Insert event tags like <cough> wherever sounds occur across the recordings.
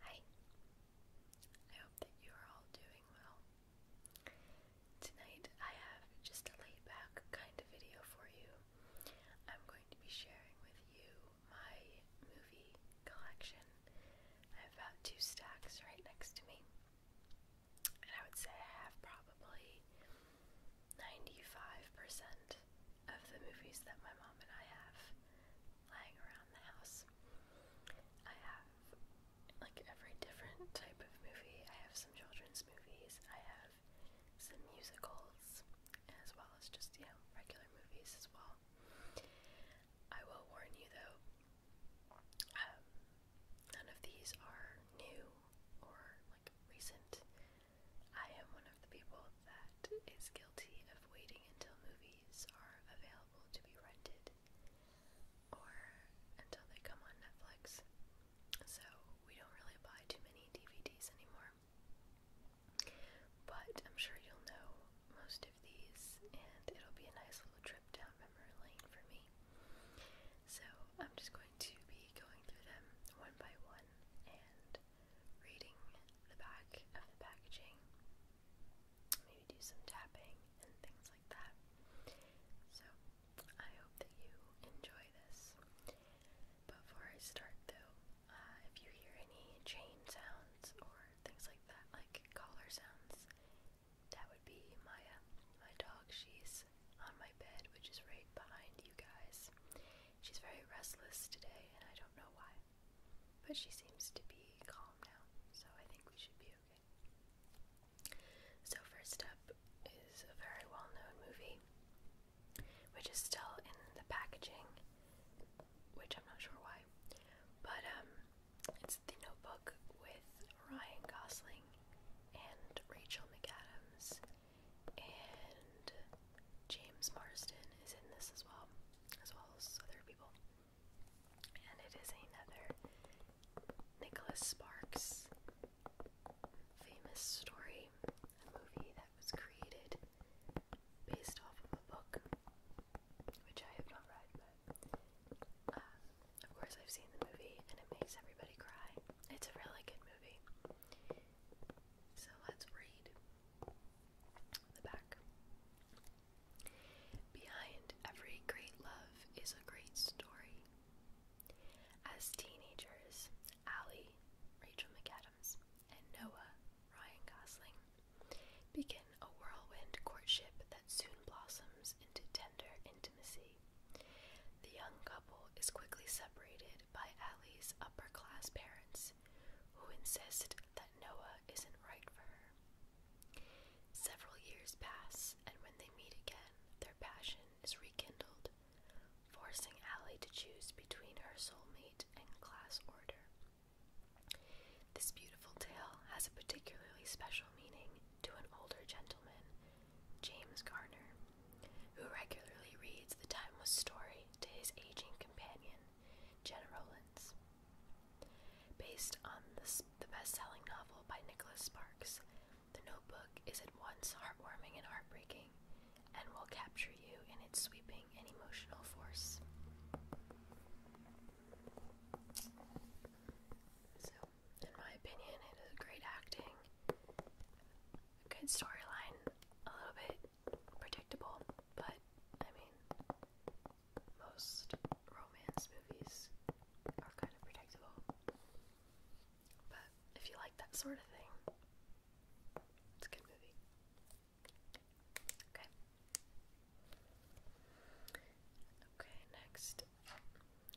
Hi, I hope that you are all doing well. Tonight I have just a laid back kind of video for you. I'm going to be sharing with you my movie collection. I have about two stacks right next to me, and I would say I have probably 95% of the movies that my mom and I have lying around the house. I have like every different type of movie. I have some children's movies, I have some musicals, as well as just, you know, regular movies as well. I will warn you though, um, none of these are new or like recent. I am one of the people that is guilty of waiting until movies are available to be rented or until they come on Netflix. So we don't really buy too many DVDs anymore. But I'm sure you'll know most of these, and it'll be a nice little trip down memory lane for me. So I'm just going to be going through them one by one and reading the back of the packaging, maybe do some tapping and things like that. So, I hope that you enjoy this. Before I start, though, uh, if you hear any chain sounds or things like that, like collar sounds, that would be Maya, my dog. She's on my bed, which is right behind you guys. She's very restless today, and I don't know why. But she seems to be calm now, so I think we should be okay. So, first up is a very well known movie, which is still in the packaging, which I'm not sure why, but um, it's The Notebook with Ryan Gosling and Rachel McAdams, and James Marsden is in this as well as well as other people. And it is another Nicholas Sparks famous story, a movie that was created based off of a book, which I have not read, but uh, of course I've seen the movie and it makes everybody cry. It's a really good movie. So let's read the back. Behind every great love is a great story. As teenagers, Allie, Rachel McAdams, and Noah, Ryan Gosling, begin a whirlwind courtship that soon blossoms into tender intimacy. The young couple is quickly separated by Allie's upper class parents, who insist that Noah isn't right for her. Several years pass, and when they meet again, their passion is rekindled, forcing Allie to choose between her soulmate and class order. This beautiful tale has a particularly special meaning to an older gentleman, James Garner, who regularly reads the timeless story to his aging companion, Jenna Rollins. Based on the, the best-selling novel by Nicholas Sparks, The Notebook is at once heartwarming and heartbreaking, and will capture you in its sweeping and emotional force. So, in my opinion, it is great acting, a good storyline, a little bit predictable, but I mean, most romance movies are kind of predictable. But if you like that sort of thing, it's a good movie. Okay. Okay, next.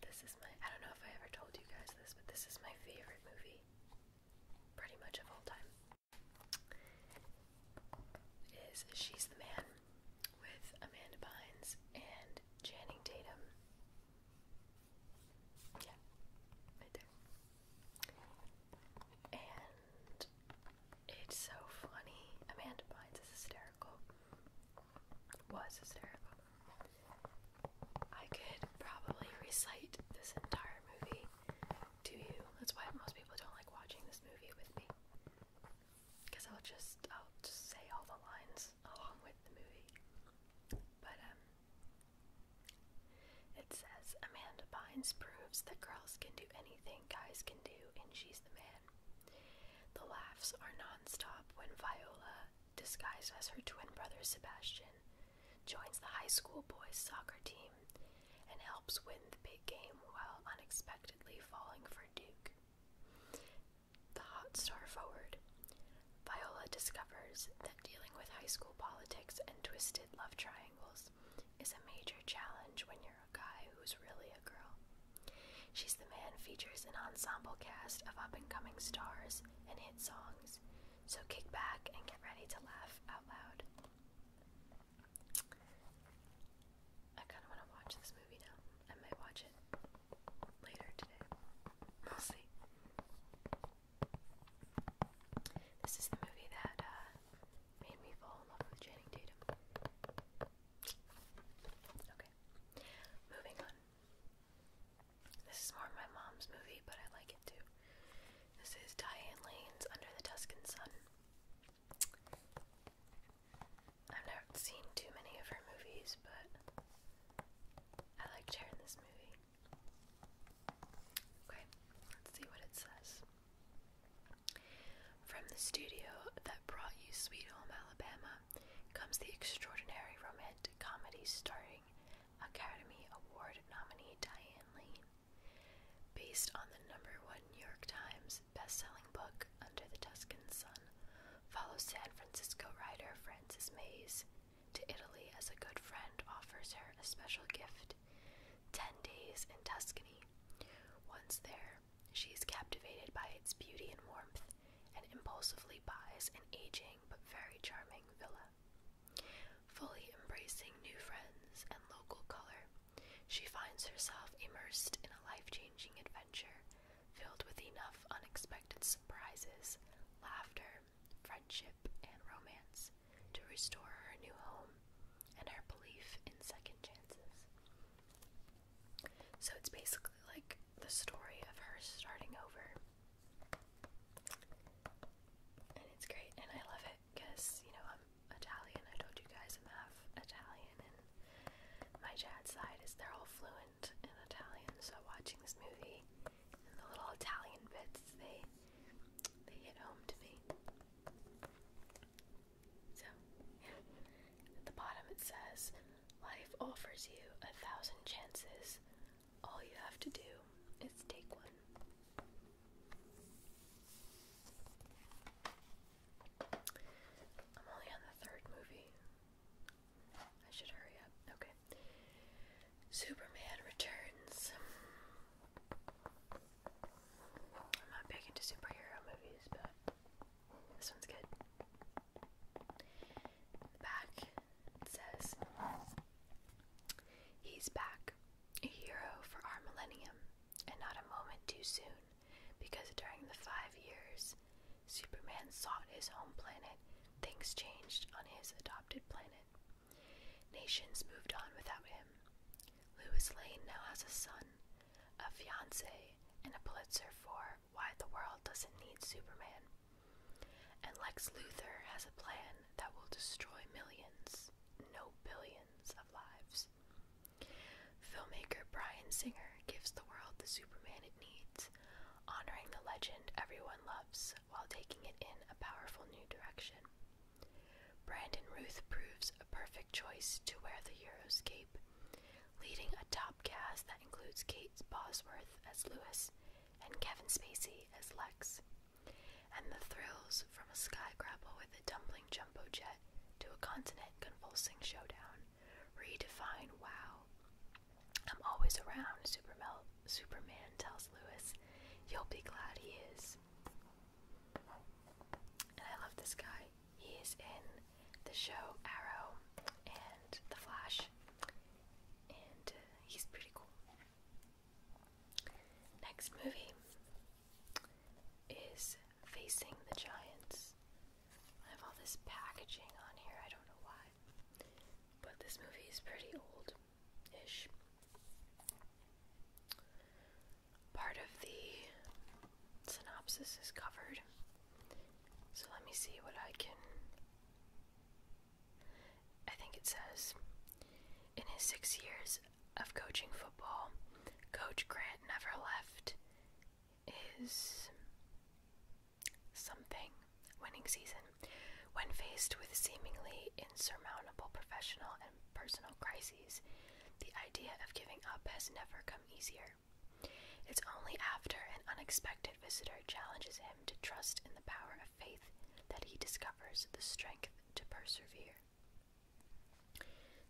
This is my, I don't know if I ever told you guys this, but this is my favorite movie. Pretty much of all time is She's the Man with Amanda Bynes and Channing Tatum. Yeah, right there. And it's so funny. Amanda Bynes is hysterical. Was hysterical. I could probably recite this entire movie to you. That's why most people don't like watching this movie with me. Because I'll just, I'll just say all the lines along with the movie. But, um, it says Amanda Bynes proves that girls can do anything guys can do, and she's the man. The laughs are nonstop when Viola, disguised as her twin brother Sebastian, joins the high school boys' soccer team and helps win the big game while unexpectedly falling for Duke. The hot star forward. Viola discovers that dealing with high school politics and twisted love triangles is a major challenge when you're a guy who's really a girl. She's the Man features an ensemble cast of up and coming stars and hit songs, so kick back and get ready to laugh out loud. I kind of want to watch this movie now. I might watch it later today. We'll see. This is the movie that uh, made me fall in love with Channing Tatum. Okay, moving on. This is more my mom's movie, but I like it too. This is Diane Lane's Under the Tuscan Sun. I've never seen too many of her movies, but I liked her in this movie. Okay, let's see what it says. From the studio that brought you Sweet Home Alabama comes the extraordinary romantic comedy starring Academy Award nominee Diane Lane. Based on the number one New York Times best-selling book Under the Tuscan Sun, follows San Francisco writer Frances Mays to Italy as a good friend offers her a special gift, 10 days in Tuscany. Once there, she is captivated by its beauty and warmth and impulsively buys an aging but very charming villa. Fully embracing new friends and local color, she finds herself immersed in a life changing adventure filled with enough unexpected surprises, laughter, friendship, and romance to restore her new home and her belief in second chances. So it's basically like the story of her starting over. And it's great, and I love it because you know I'm Italian. I told you guys I'm half Italian, and my dad's side is they're all fluent in Italian. So watching this movie and the little Italian bits, they they hit home to me. So yeah. at the bottom it says, "Life offers you a thousand chances. All you have to do is take one." I'm only on the third movie. I should hurry up. Okay. Superman Returns. I'm not big into superhero movies, but this one's good. back says He's back, a hero for our millennium, and not a moment too soon. Because during the five years Superman sought his home planet, things changed on his adopted planet. Nations moved on without him. Lewis Lane now has a son, a fiance, and a Pulitzer for Why the World Doesn't Need Superman. And Lex Luthor has a plan that will destroy millions, no billions, of lives. Filmmaker Brian Singer gives the world the Superman it needs, honoring the legend everyone loves while taking it in a powerful new direction. Brandon Ruth proves a perfect choice to wear the hero's cape, leading a top cast that includes Kate Bosworth as Lewis and Kevin Spacey as Lex. And the thrills from a sky grapple with the jumbo jet to a continent convulsing showdown. Redefine wow. I'm always around, Supermel Superman tells Lewis. You'll be glad he is. And I love this guy. He is in the show Arrow and The Flash, and uh, he's pretty cool. Next movie is facing the Giants. I have all this packaging on here, I don't know why. But this movie is pretty old ish. Part of the synopsis is covered. So let me see what I can. I think it says In his six years of coaching football, Coach Grant never left is something. Winning season. When faced with seemingly insurmountable professional and personal crises, the idea of giving up has never come easier. It's only after an unexpected visitor challenges him to trust in the power of faith that he discovers the strength to persevere.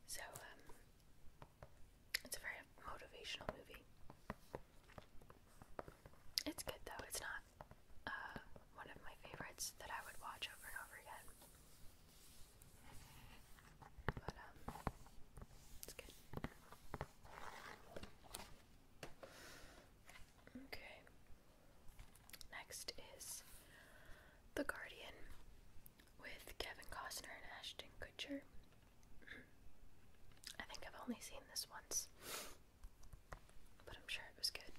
So, um, it's a very motivational movie. It's good though, it's not uh, one of my favorites that I would watch over and over again. But, um, it's good. Okay. Next is The Guardian with Kevin Costner and Ashton Kutcher. I think I've only seen this once, but I'm sure it was good.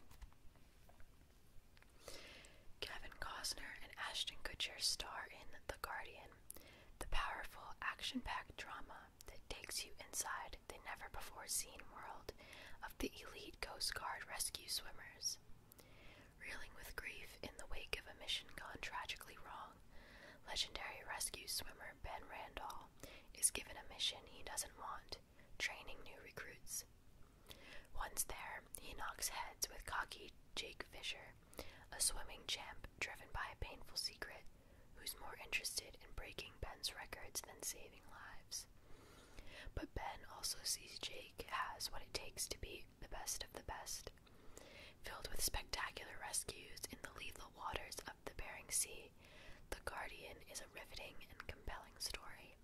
Kevin Costner and Ashton Kutcher star in The Guardian, the powerful action packed drama that takes you inside the never before seen world of the elite Coast Guard rescue swimmers. Reeling with grief in the wake of a mission gone tragically wrong, legendary rescue swimmer Ben Randall is given a mission he doesn't want training new recruits. Once there, he knocks heads with cocky Jake Fisher, a swimming champ driven by a painful secret who's more interested in breaking Ben's records than saving lives. But Ben also sees Jake has what it takes to be the best of the best Filled with spectacular rescues in the lethal waters of the Bering Sea, The Guardian is a riveting and compelling story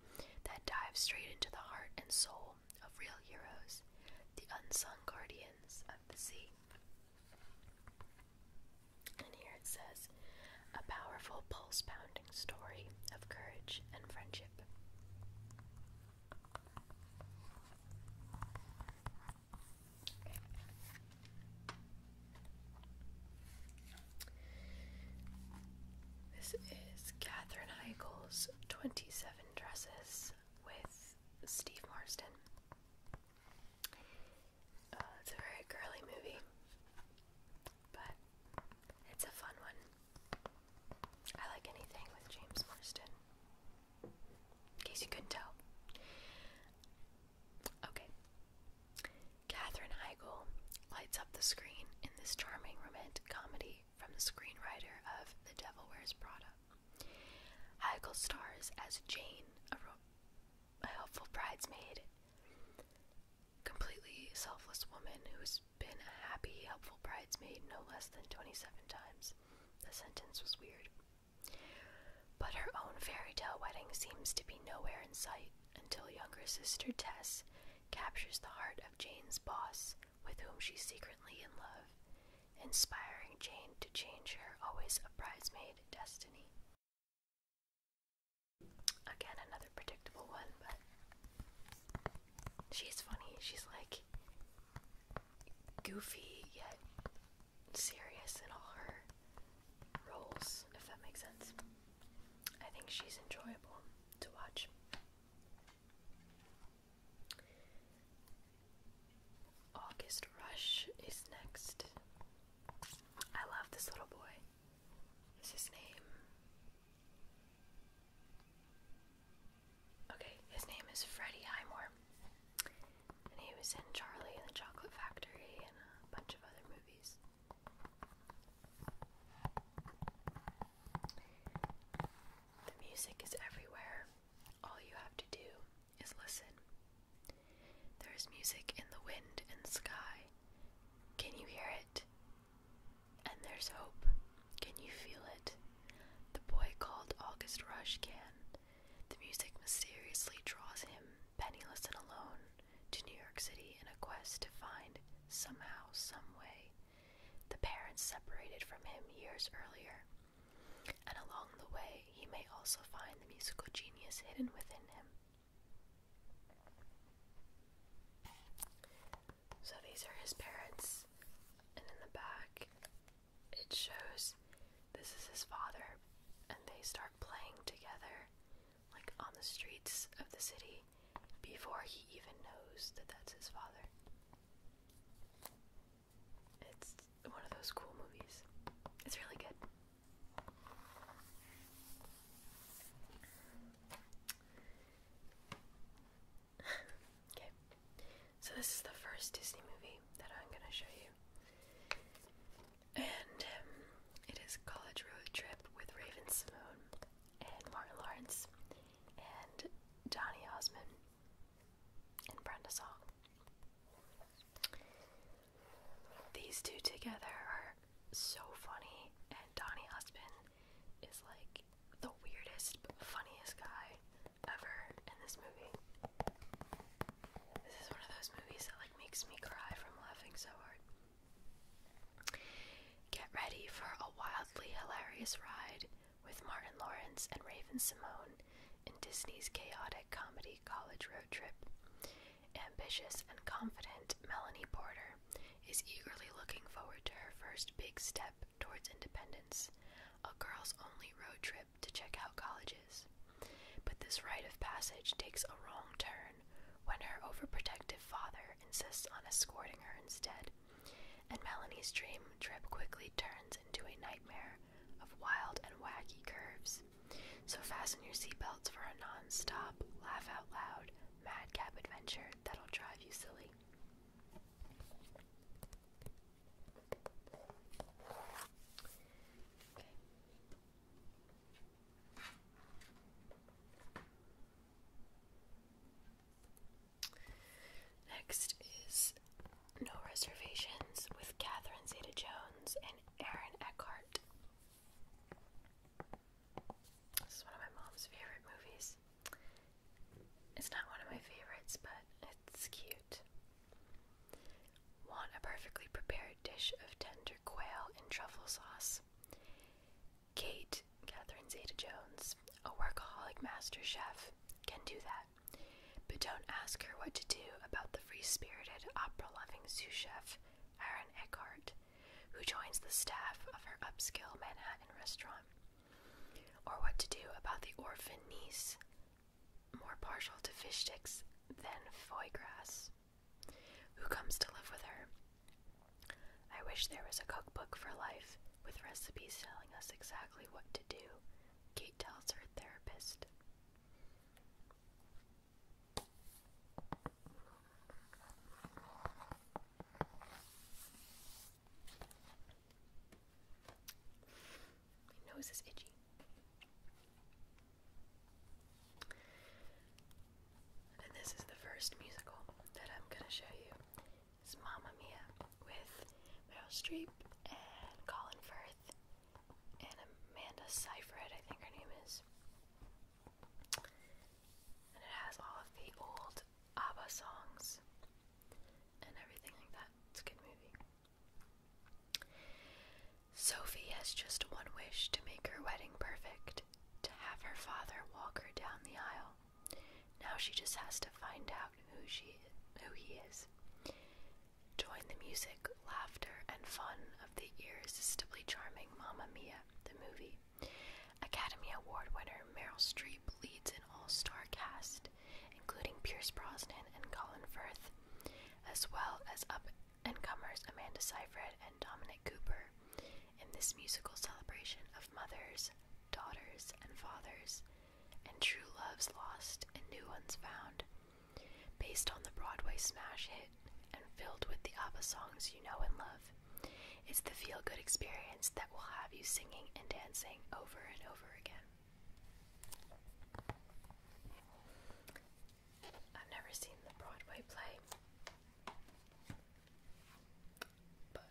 that dives straight into the heart and soul of real heroes, the unsung guardians of the sea. And here it says, a powerful, pulse pounding story of courage and friendship. This is Katherine Heigl's 27 Dresses with Steve Marston. Uh, it's a very girly movie, but it's a fun one. I like anything with James Marston. In case you couldn't tell. Okay. Katherine Heigl lights up the screen in this charming romantic comedy from the screenwriter of The Devil Wears Prada. Heigl stars as Jane, a, a helpful bridesmaid, completely selfless woman who's been a happy, helpful bridesmaid no less than 27 times. The sentence was weird. But her own fairy tale wedding seems to be nowhere in sight until younger sister Tess captures the heart of Jane's boss, with whom she's secretly in love, inspiring Jane to change her always a bridesmaid destiny. Again, another predictable one, but she's funny. She's like, goofy yet serious in all her roles, if that makes sense. I think she's enjoyable to watch. August Rush is next. I love this little boy. Is his name? Okay, his name is Freddie Highmore. And he was in Charlie and the Chocolate Factory and a bunch of other movies. The music is everywhere. All you have to do is listen. There is music in the wind and sky. Can you hear it? And there's hope can you feel it? The boy called August Rush can. The music mysteriously draws him, penniless and alone, to New York City in a quest to find, somehow, some way, the parents separated from him years earlier. And along the way, he may also find the musical genius hidden within him. So these are his parents, and in the back it shows this is his father, and they start playing together, like on the streets of the city, before he even knows that that's his father. It's one of those cool movies. It's really good okay, so this is the first Disney movie that I'm gonna show you, and um, it is College Road Trip with Raven Simone and Martin Lawrence and Donny Osmond and Brenda Song. These two together are so funny, and Donny Osmond is like the weirdest funniest guy ever in this movie. This is one of those movies that like makes me cry from laughing so hard. Get ready for a wildly hilarious ride with Martin Lawrence and Raven Simone in Disney's chaotic comedy college road trip. Ambitious and confident Melanie Porter is eagerly looking forward to her first big step towards independence, a girls only road trip to check out colleges. But this rite of passage takes a wrong turn when her overprotective father insists on escorting her instead, and Melanie's dream trip quickly turns into a nightmare of wild and wacky curves. So fasten your seatbelts for a non stop, laugh out loud, madcap adventure that'll drive you silly. Next is No Reservations with Catherine Zeta Jones and Aaron Eckhart. This is one of my mom's favorite movies. It's not one of my favorites, but it's cute. Want a perfectly prepared dish of tender quail in truffle sauce. Kate, Catherine Zeta Jones, a workaholic master chef, can do that, but don't ask her what to do about the free spirited, opera loving sous chef, Aaron Eckhart, who joins the staff of her upscale Manhattan restaurant, or what to do about the orphan niece more partial to fish sticks than foie gras, who comes to live with her. I wish there was a cookbook for life with recipes telling us exactly what to do, Kate tells her therapist. My nose is itchy. this is the first musical that I'm gonna show you. It's Mamma Mia with Meryl Streep and Colin Firth and Amanda Seyfried, I think her name is. And it has all of the old ABBA songs and everything like that. It's a good movie. Sophie has just one wish to make her wedding perfect, to have her father walk her down the aisle. Now she just has to find out who she who he is. Join the music, laughter, and fun of the irresistibly charming Mamma Mia, the movie. Academy Award winner Meryl Streep leads an all-star cast including Pierce Brosnan and Colin Firth, as well as up and comers Amanda Seyfried and Dominic Cooper in this musical celebration of mothers, daughters, and fathers, and true loves lost and new ones found. Based on the Broadway smash hit and filled with the ABBA songs you know and love, it's the feel good experience that will have you singing and dancing over and over again. I've never seen the Broadway play, but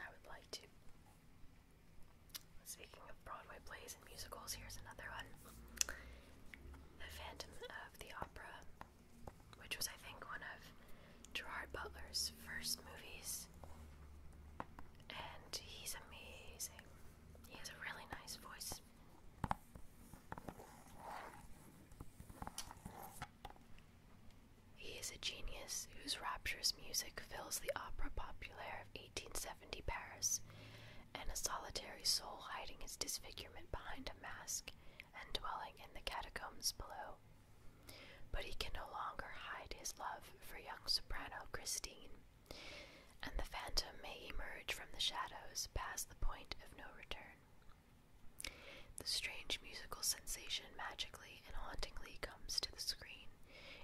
I would like to. Speaking of Broadway plays and musicals, here's another one The Phantom of the Opera, which was, I think, one of Gerard Butler's first movies, and he's amazing. He has a really nice voice. He is a genius whose rapturous music fills the opera populaire of 1870 Paris, and a solitary soul hiding his disfigurement behind a mask and dwelling in the catacombs below. But he can no longer hide his love for young soprano Christine, and the phantom may emerge from the shadows past the point of no return. The strange musical sensation magically and hauntingly comes to the screen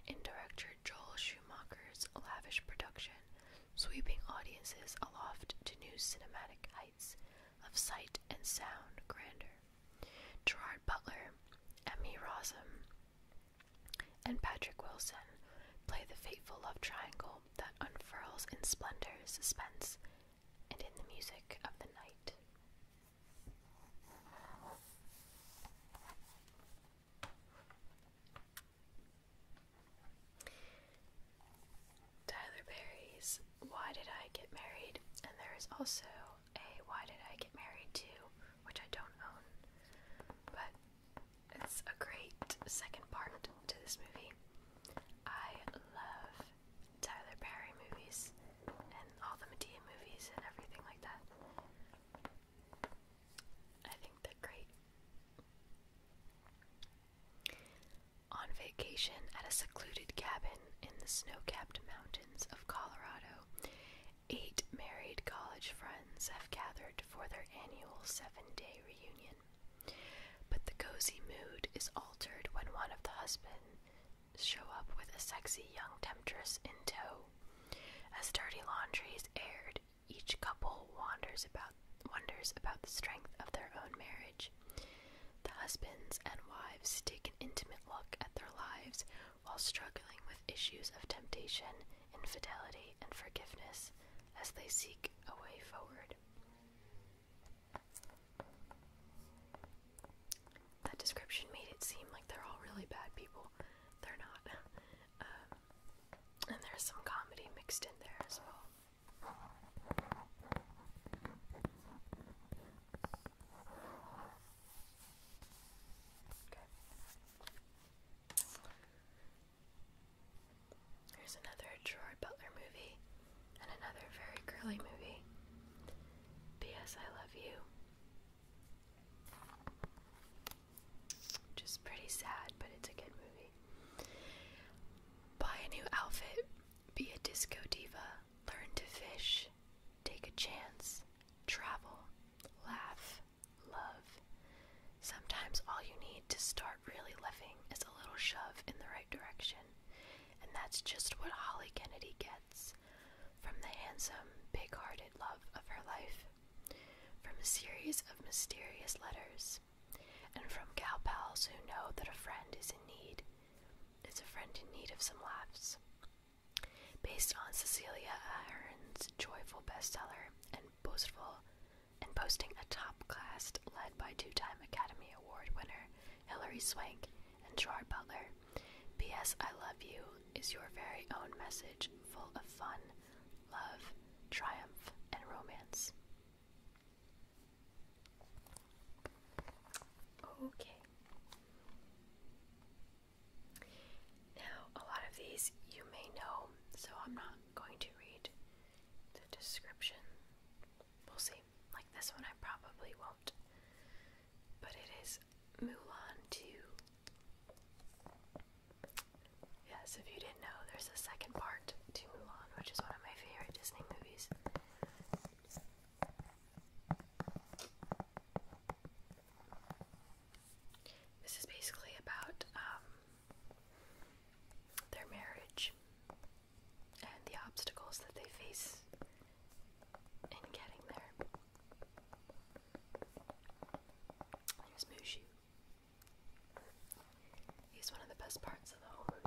in director Joel Schumacher's lavish production, sweeping audiences aloft to new cinematic heights of sight and sound grandeur. Gerard Butler, Emmy Rossum, and Patrick Wilson play the fateful love triangle that unfurls in splendor, suspense, and in the music of the night. Tyler Perry's Why Did I Get Married? And there is also a Why Did I Get Married To, which I don't own, but it's a great second part to this movie. I love Tyler Perry movies and all the Medea movies and everything like that. I think they're great. On vacation at a secluded cabin in the snow capped mountains of Colorado, Eight married college friends have gathered for their annual seven day reunion. But the cozy mood is altered when one of the husbands show up with a sexy young temptress in tow. As dirty laundry is aired, each couple wanders about wonders about the strength of their own marriage. The husbands and wives take an intimate look at their lives while struggling with issues of temptation infidelity, and forgiveness as they seek a way forward. That description made it seem like they're all really bad people. They're not. Um, and there's some comedy mixed in there as well. There's another Gerard Butler movie and another very girly movie. P.S. I Love You. Which pretty sad, but it's a good movie. Buy a new outfit, be a disco diva, learn to fish, take a chance, travel, laugh, love. Sometimes all you need to start really living is a little shove in the right direction, and that's just what Holly Kennedy gets from the handsome, big hearted love of her life, from a series of mysterious letters, and from gal pals who know that a friend is in need, is a friend in need of some laughs. Based on Cecilia Ahern's joyful bestseller and boastful, and posting a top class led by two time Academy Award winner Hilary Swank and Gerard Butler. P.S. I Love You is your very own message full of fun, love, triumph, and romance. Okay. Now, a lot of these you may know, so I'm not going to read the description. We'll see. Like this one, I probably won't. But it is Mulan 2. Yes, if you didn't know, there's a second part to Mulan, which is one of my favorite Disney movies. This is basically about um, their marriage and the obstacles that they face in getting there. There's Mushu. He's one of the best parts of the movie.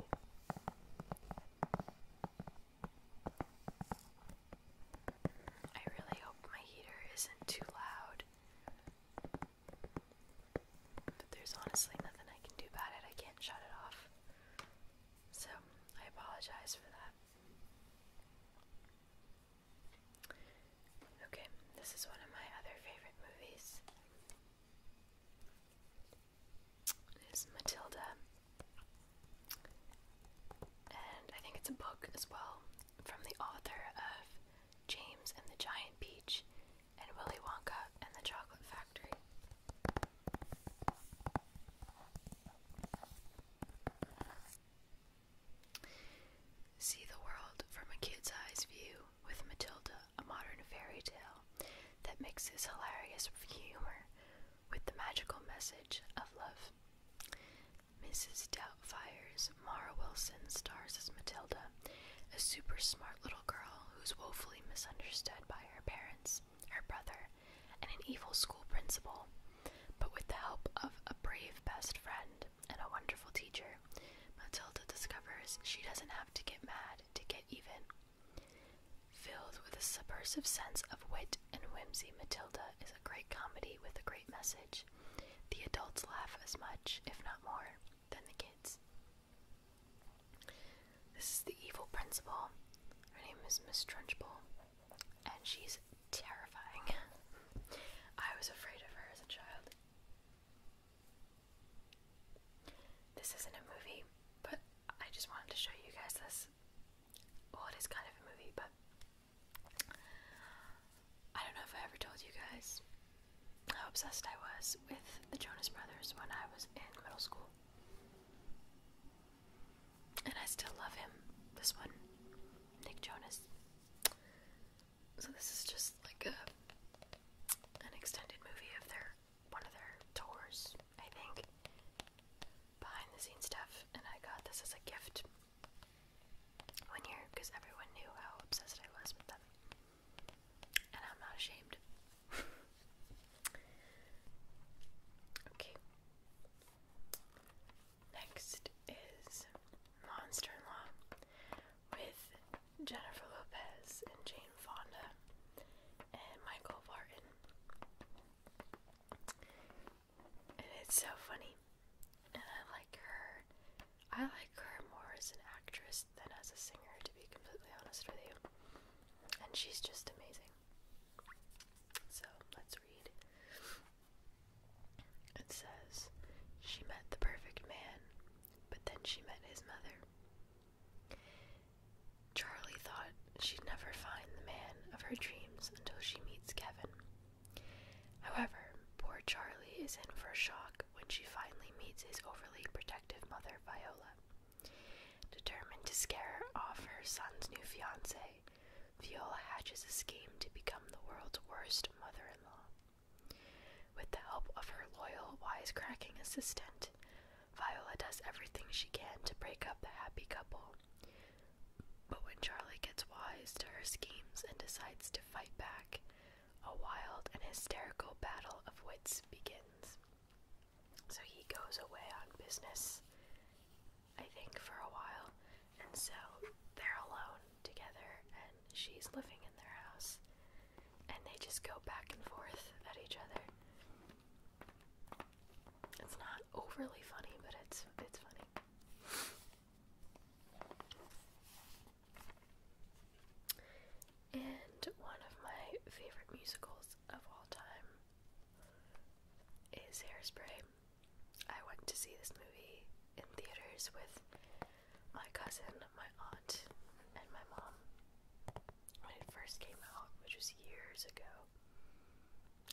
I really hope my heater isn't too loud there's honestly nothing I can do about it. I can't shut it off. So I apologize for that. Okay, this is one of my other favorite movies. It is Matilda. And I think it's a book as well from the author of James and the Giant Peach and Willy Wonka and the Chocolate Factory. See the world from a kid's eyes view with Matilda, a modern fairy tale that mixes hilarious humor with the magical message of love. Mrs. Doubtfire's Mara Wilson stars as Matilda, a super smart little girl who's woefully misunderstood by her parents, her brother, and an evil school principal. But with the help of a brave best friend and a wonderful teacher, Matilda discovers she doesn't have to get mad to get even. Filled with a subversive sense of wit and whimsy, Matilda is a great comedy with a great message. The adults laugh as much, if not more, than the kids. This is the evil principal. Her name is Miss Trunchbull, and she's terrifying. I was afraid of her as a child. This isn't a movie, but I just wanted to show you guys this. Well, it is kind of a movie, but I don't know if I ever told you guys how obsessed I was with the Jonas Brothers when I was in middle school. And I still love him. This one, Nick Jonas. So this is just like a an extended movie of their one of their tours, I think. Behind the scenes stuff, and I got this as a gift one year because everyone knew how obsessed I was with them. And I'm not ashamed. <laughs> okay. Next is Monster in Law with Jennifer Lopez and Jane Fonda and Michael Barton. And it's so funny and I like her. I like her more as an actress than as a singer, to be completely honest with you. And she's just amazing. So let's read. It says, She met the perfect man, but then she met his mother. Charlie thought she'd never find the man of her dreams until she meets Kevin. However, poor Charlie is in for a shock when she finally meets his overly protective mother, Viola. Determined to scare off her son's new fiancé, Viola hatches a scheme to become the world's worst mother in law. With the help of her loyal, wisecracking assistant, Viola does everything she can to break up the happy couple. But when Charlie gets wise to her schemes and decides to fight back, a wild and hysterical battle of wits begins. So he goes away on business, I think, for a while, and so they're alone together, and she's living in their house, and they just go back and forth at each other. It's not overly funny, but it's it's funny. And one of my favorite musicals of all time is Hairspray. I went to see this movie in theaters with my cousin, my aunt, and my mom when it first came out, which was years ago.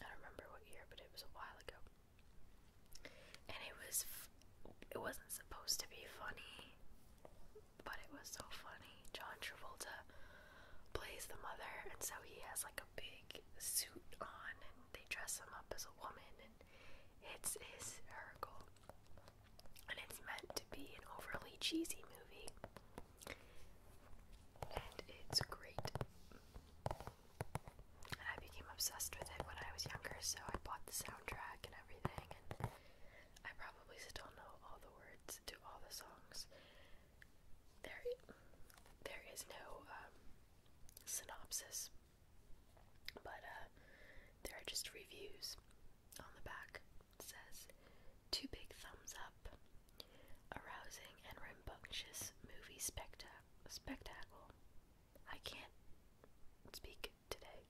I don't remember what year, but it was a while ago and it was it wasn't supposed to be funny, but it was so funny. John Travolta plays the mother, and so he has like a big suit on, and they dress him up as a woman, and it's hysterical. And it's meant to be an overly cheesy movie, and it's great. And I became obsessed with it when I was younger, so I bought the soundtrack soundtrack and everything, I probably still know all the words to all the songs. There, there is no um, synopsis, but uh, there are just reviews. On the back says, two big thumbs up, arousing and rambunctious movie spectac spectacle. I can't speak today.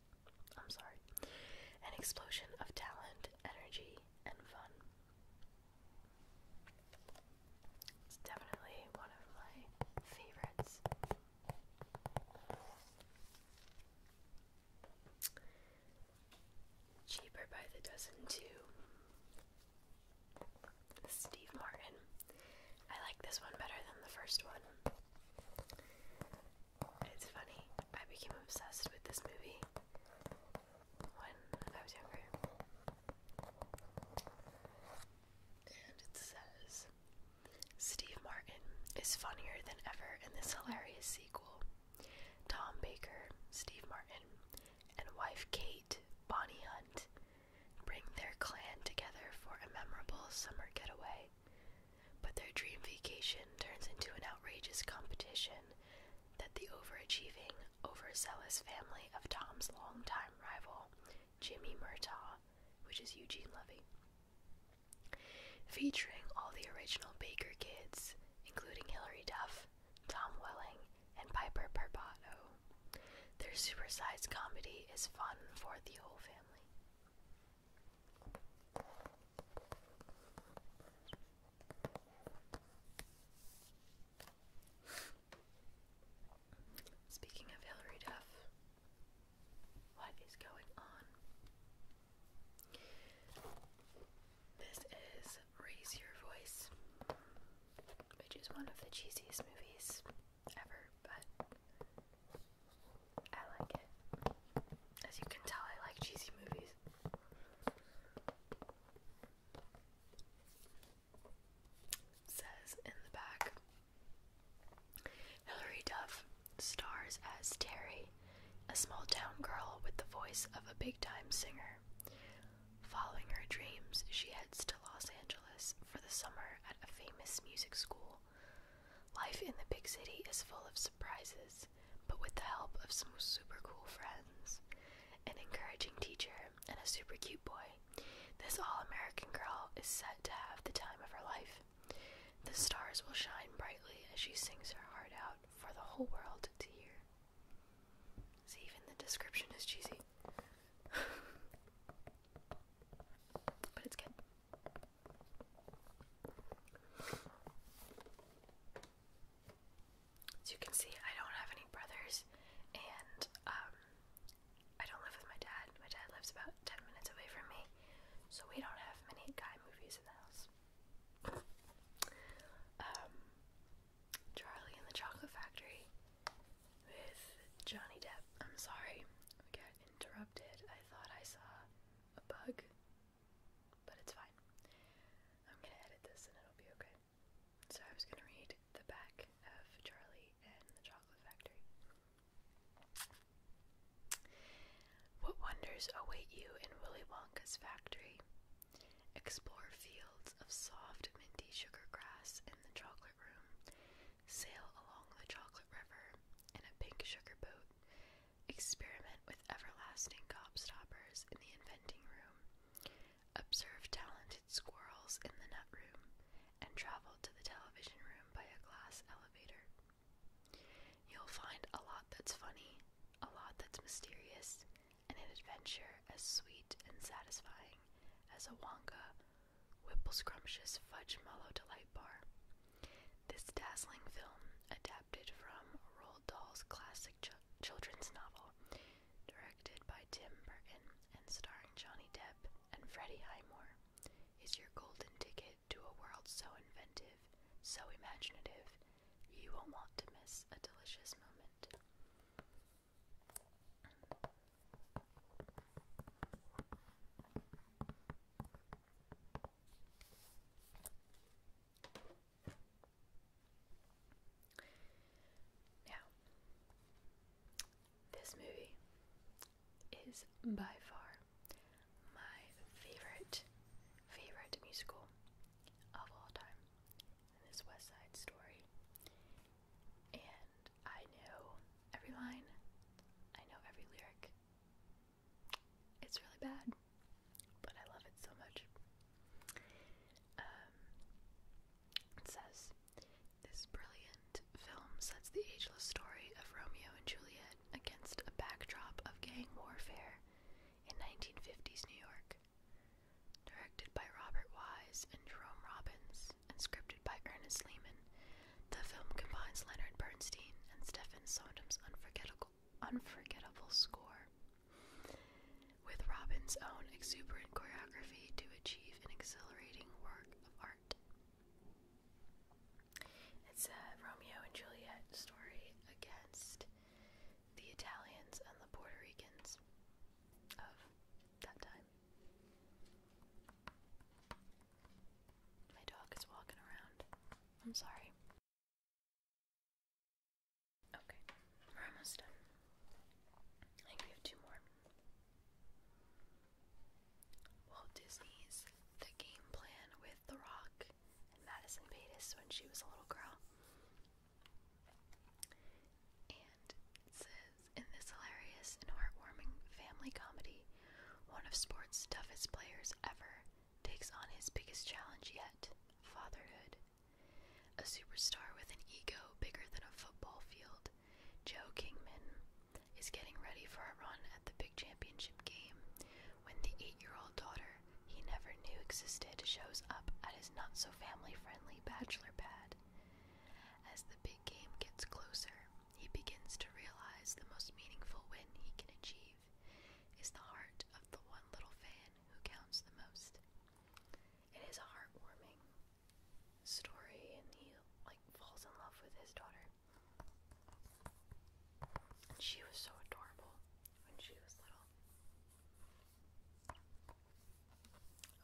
I'm sorry. An explosion of talent, energy, and fun. It's definitely one of my favorites. Cheaper by the dozen, too. Steve Martin. I like this one better than the first one. It's funny, I became obsessed with this movie when I was younger. And it says Steve Martin is funnier than ever in this hilarious sequel. Tom Baker, Steve Martin, and wife Kate, Bonnie Hunt, bring their clan together for a memorable summer getaway but their dream vacation turns into an outrageous competition that the overachieving, overzealous family of Tom's longtime rival, Jimmy Murtaugh, which is Eugene Levy. Featuring all the original Baker kids, including Hilary Duff, Tom Welling, and Piper Perpato. Their supersized comedy is fun for the whole family. Speaking of Hillary Duff, what is going on? This is Raise Your Voice, which is one of the cheesiest movies ever, but I like it. As you can tell, I like cheesy movies. says in the back Hilary Duff stars as Terry, a small town girl with the voice of a big time singer. Following her dreams, she heads to Los Angeles for the summer at a famous music school Life in the big city is full of surprises, but with the help of some super cool friends, an encouraging teacher, and a super cute boy, this all American girl is set to have the time of her life. The stars will shine brightly as she sings her heart out for the whole world to hear. See, even the description is cheesy. <laughs> but it's good. As you can see, I don't have any brothers, and um, I don't live with my dad. My dad lives about 10 minutes away from me, so we don't have many guy movies in the house. Um, Charlie and the Chocolate Factory with Johnny Depp. I'm sorry, I got interrupted. I thought I saw a bug, but it's fine. I'm gonna edit this and it'll be okay. So I was gonna read the back of Charlie and the Chocolate Factory. What wonders await you in Willy Wonka's factory? Explore fields of soft, minty sugar grass in the chocolate room. Sail along the chocolate river in a pink sugar boat Experiment with everlasting gobstoppers in the inventing room. Observe talented squirrels in the nut room. And travel to the television room by a glass elevator. You'll find a lot that's funny, a lot that's mysterious, and an adventure as sweet and satisfying as a Wonka Whipple Scrumptious Fudge Mellow Delight Bar. This dazzling film, adapted from Roald Dahl's classic children's novel, directed by Tim Burton and starring Johnny Depp and Freddie Highmore, is your golden ticket to a world so inventive, so imaginative, you won't want to miss a delicious moment. Now, this movie is by far my favorite, favorite musical of all time. And this West Side Story. And I know every line, I know every lyric, it's really bad, but I love it so much. Um, it says this brilliant film sets the ageless story of Romeo and Juliet against a backdrop of gang warfare in 1950s New York. Directed by Robert Wise and Jerome Robbins, and scripted by Ernest Lehman, the film combines Leonard Bernstein and Stephen Sondheim's unforgettable, unforgettable score with Robin's own exuberant choreography to achieve an exhilarating work of art. It's a Romeo and Juliet story against the Italians and the Puerto Ricans of that time. My dog is walking around. I'm sorry. Okay, we're almost done. I think we have two more. Walt Disney's The Game Plan with The Rock and Madison Batis when she was a little girl. And it says in this hilarious and heartwarming family comedy, one of sports' toughest players ever takes on his biggest challenge yet fatherhood. A superstar with an ego bigger than a football field, Joe Kingman is getting ready for a run at the big championship game when the eight year old daughter he never knew existed shows up at his not so family friendly bachelor pad. As the big game gets closer, he begins to realize the most meaningful win he can achieve is the heart of the one little fan who counts the most. It is a heartwarming story, and he like falls in love with his daughter. And she was so adorable when she was little.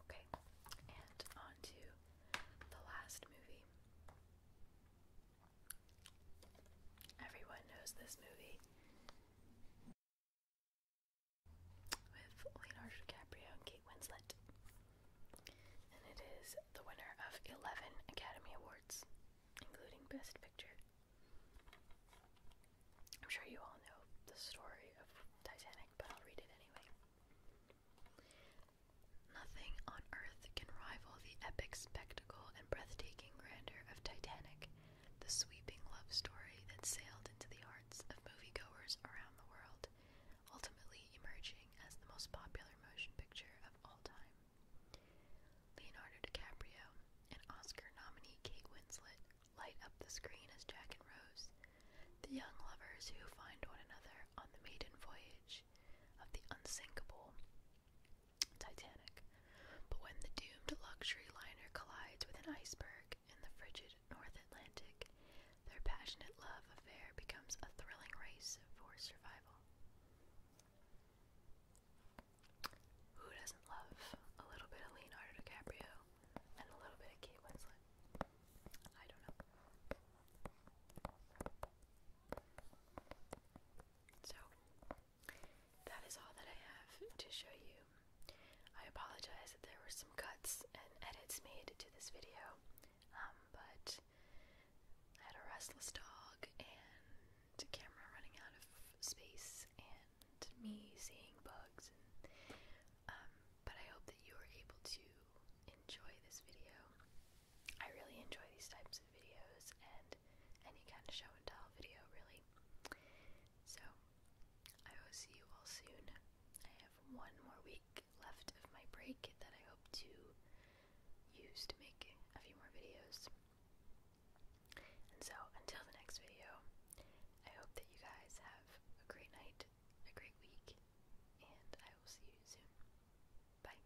Okay, and on the last movie. Everyone knows this movie with Leonardo DiCaprio and Kate Winslet. And it is the winner of 11 Academy Awards, including Best Picture. I'm sure you all know the story of Titanic, but I'll read it anyway. Nothing on earth can rival the epic spectacle spectacle and breathtaking grandeur of Titanic, the sweeping love story that sailed into the hearts of moviegoers around the world, ultimately emerging as the most popular motion picture of all time. Leonardo DiCaprio and Oscar nominee Kate Winslet light up the screen as Jack and Rose, the young lovers who find one another on the maiden voyage of the unsinkable Titanic. But when the doomed luxury liner collides with an iceberg in the frigid North Atlantic, their passionate love affair becomes a thrilling race for survival. Who doesn't love a little bit of Leonardo DiCaprio and a little bit of Kate Winslet? I don't know. So, that is all that I have to show you. I apologize that there were some cuts and edits made to this video, um, but I had a restless dog and camera running out of space and me seeing bugs. Um, but I hope that you were able to enjoy this video. I really enjoy these types of videos and any kind of show and tell video, really. So, I will see you all soon. I have one more week left of my break that I hope to use to make a few more videos. And so, until the next video, I hope that you guys have a great night, a great week, and I will see you soon. Bye.